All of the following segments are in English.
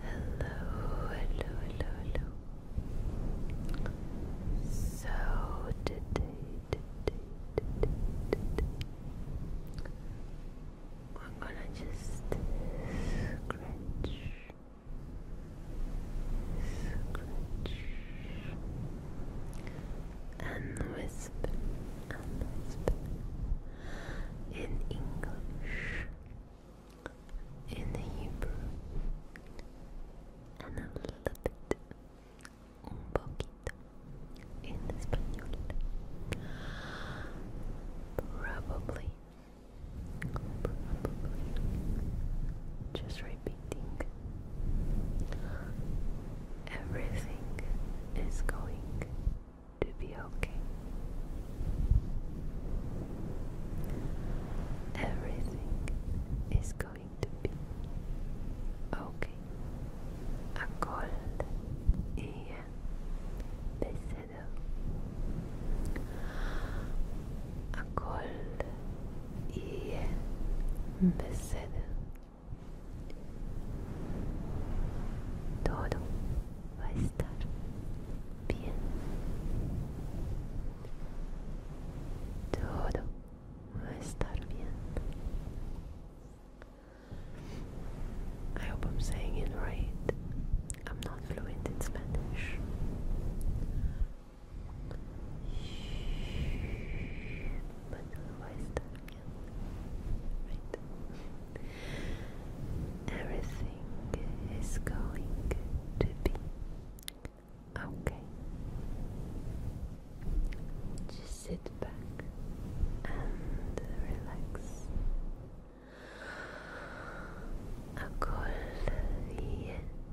hello, hello, hello. So today, today, today, today, we're gonna just scratch, scratch, and wisp and wisp in English, in Hebrew, and a little bit, un poquito, in Spanish. Probably, probably, just repeat reading. Everything is going to be okay. Everything is going to be okay. A cold e pesado. A cold e pesado. Todo va a estar bien. Todo va a estar bien. I hope I'm saying it right. I'm not fluent in Spanish but everything is going to be okay just sit back and relax أكل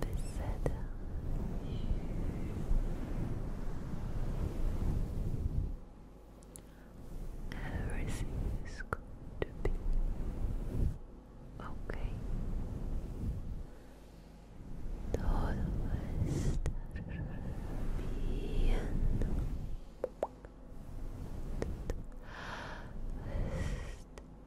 Beseda. Everything is going to be okay. Todo va bien.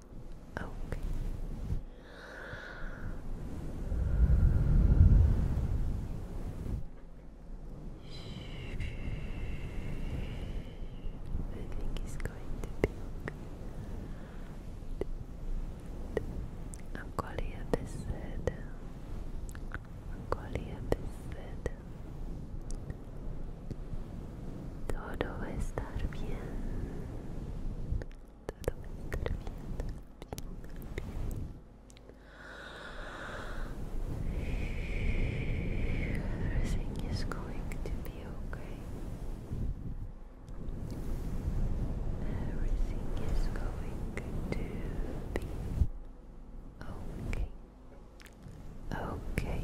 Okay. I think it's going to be okay. Acolhe pesada. Acolhe a pesada. Todo va a estar bien. Everything is going to be okay. Everything is going to be okay. Okay. Okay.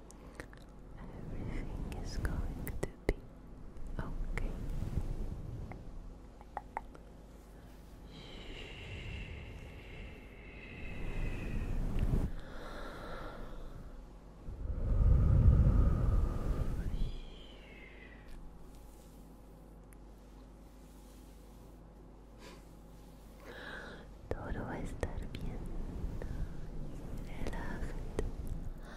Everything is going to be okay. Todo va a estar bien. Relájate.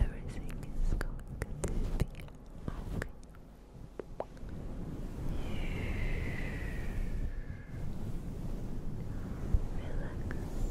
Everything is going to be okay. Relax. Relax.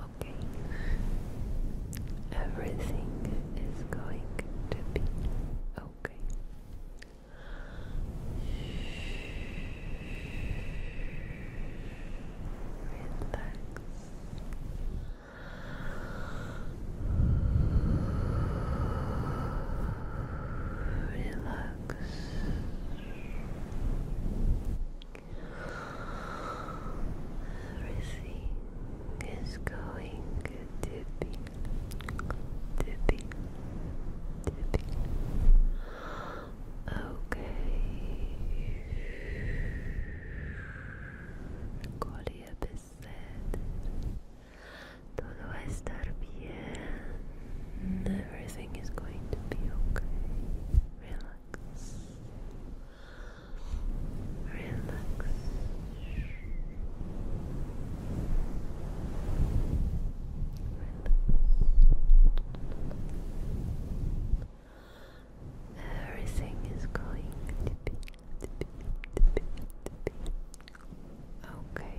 Okay. Everything is going to be okay. Relax. Relax. Everything is going tippy, tippy, tippy. Okay. Colía Todo va a estar bien. Everything is going to be okay. Relax relax. Everything is going to be okay.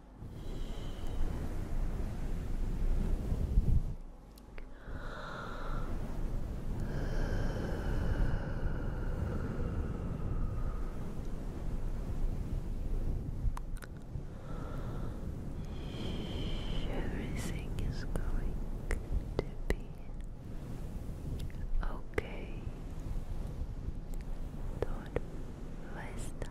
Everything is going to be okay. Todo vai estar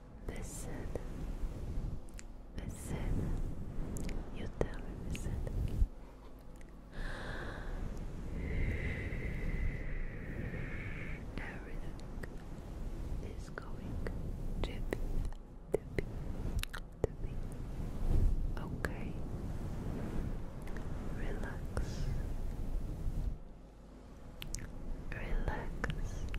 Listen, listen. You tell me, listen. Everything is going to be, to be, to be okay. Relax. Relax.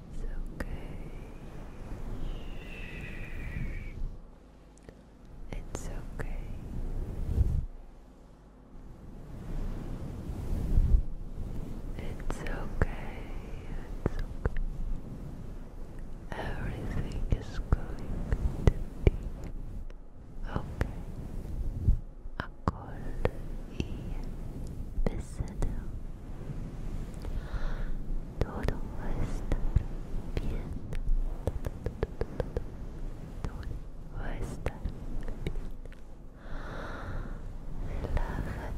it's okay. It's okay. It's okay. It's okay. Everything is going to be okay. Akol iyi Todo va a estar bien. Todo va a estar bien. Relájate.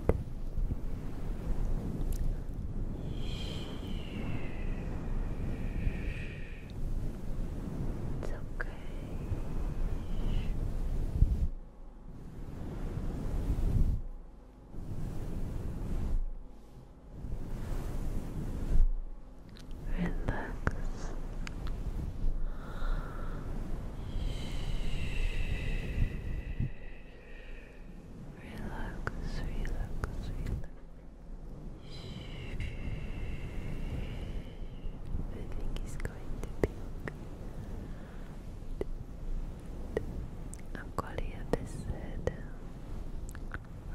It's okay. okay. Relax. Relax, relax, relax. Everything is going to be okay. Acolhe a pesada,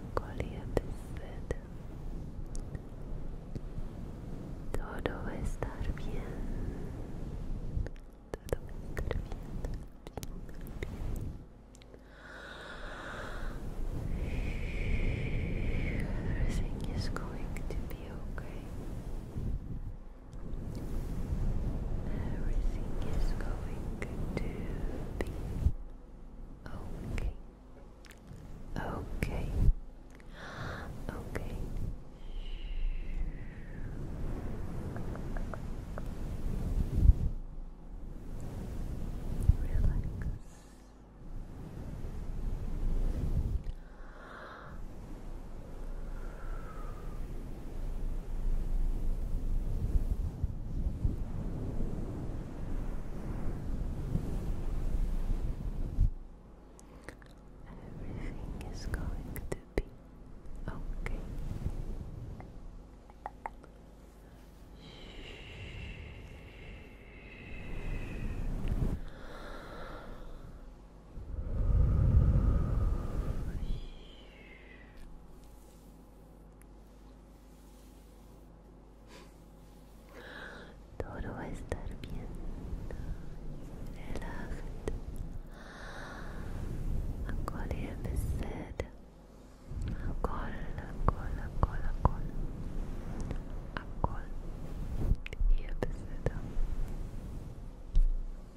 acolhe a pesada. Todo va a estar bien. Everything is going to be okay. Everything is going to be okay. Okay. Okay. Relax. Everything is going to be okay. Shh. Todo va a estar bien. Relaxa. Acol y apeseta. Acol, acol, acol, acol. Acol. Y apeseta.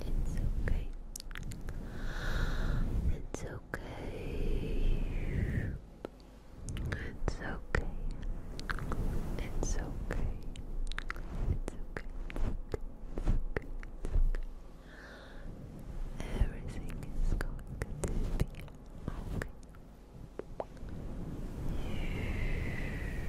It's okay. It's okay. It's okay. It's okay. It's okay. Everything is going to be okay. Everything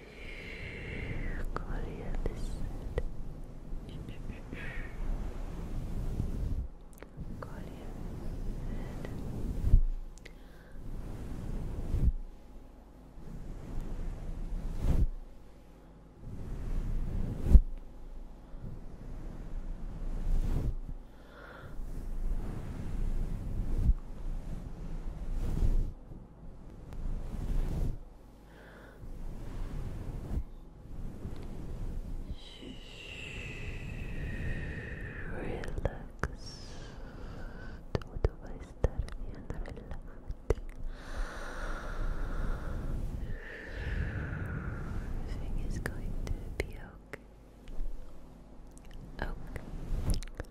Go to the other side. Go to the other side. Good. Relax. Todo va a estar bien, Everything is going to be okay. Okay.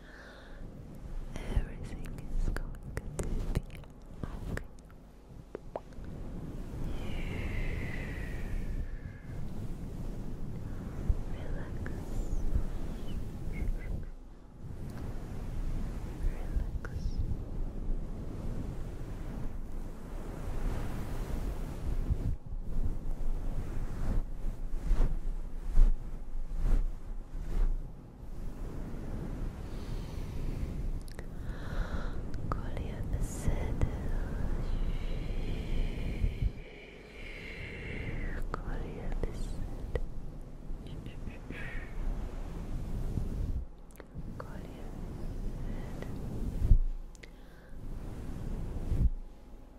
Everything is going to be okay. Relax. Relax. Colher the saddle. Colher the saddle. Colher the saddle.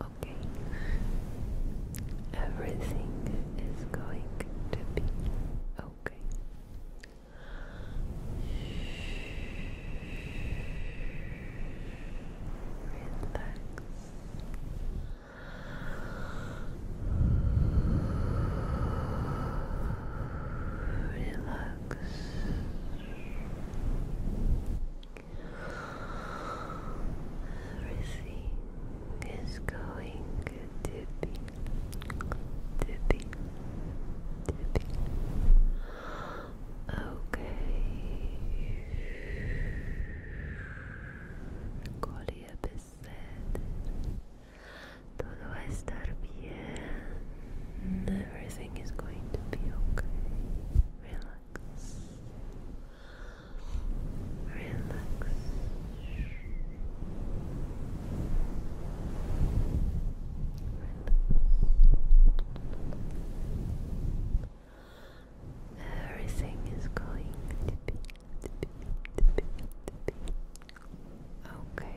Okay. Everything is going to be okay. Relax. Relax. Everything is going to be, to be, to be okay. Colhe a peseta. Todo vai estar bien. Everything is going to be okay. Relax relax. Everything is going to be, okay.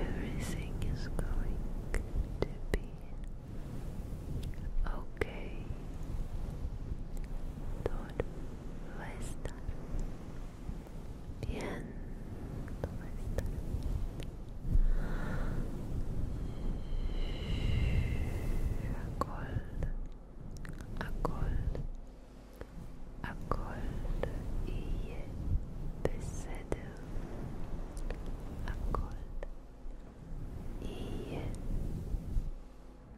Everything is going to be okay. Don't let Bien, todo va a estar bien. A cold, a cold, a cold, A cold,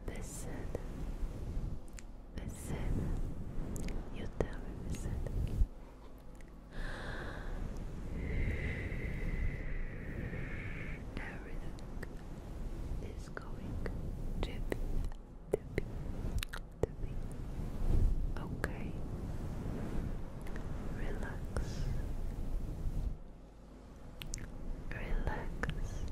Listen, listen. You tell me, listen. Everything is going to be, to be, to be okay. Relax. Relax.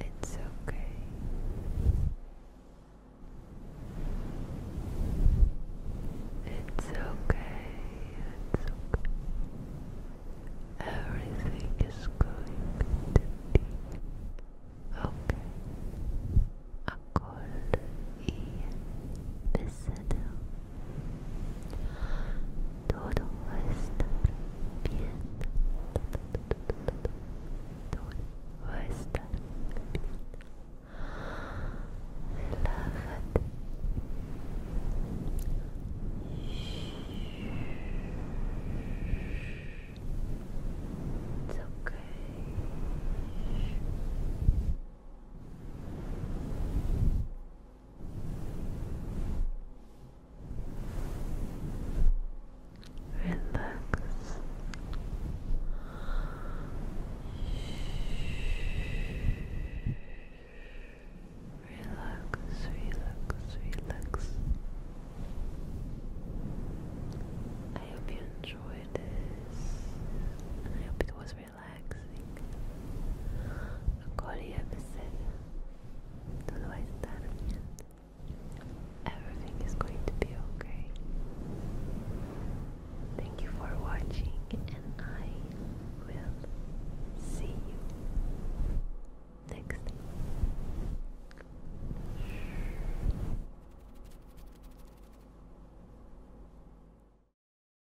It's okay. It's okay. It's okay. It's okay. Everything is going to be okay. أقول إيه Todo va a estar bien. Todo todo, todo, todo, va a estar bien. Relájate. It's okay. It's okay. Relax. Relax, relax, relax. I hope you enjoyed this. I hope it was relaxing relaxing. Acolhe você. Tudo vai estar bem. Everything is going to be okay. Thank you for watching, and I will see you next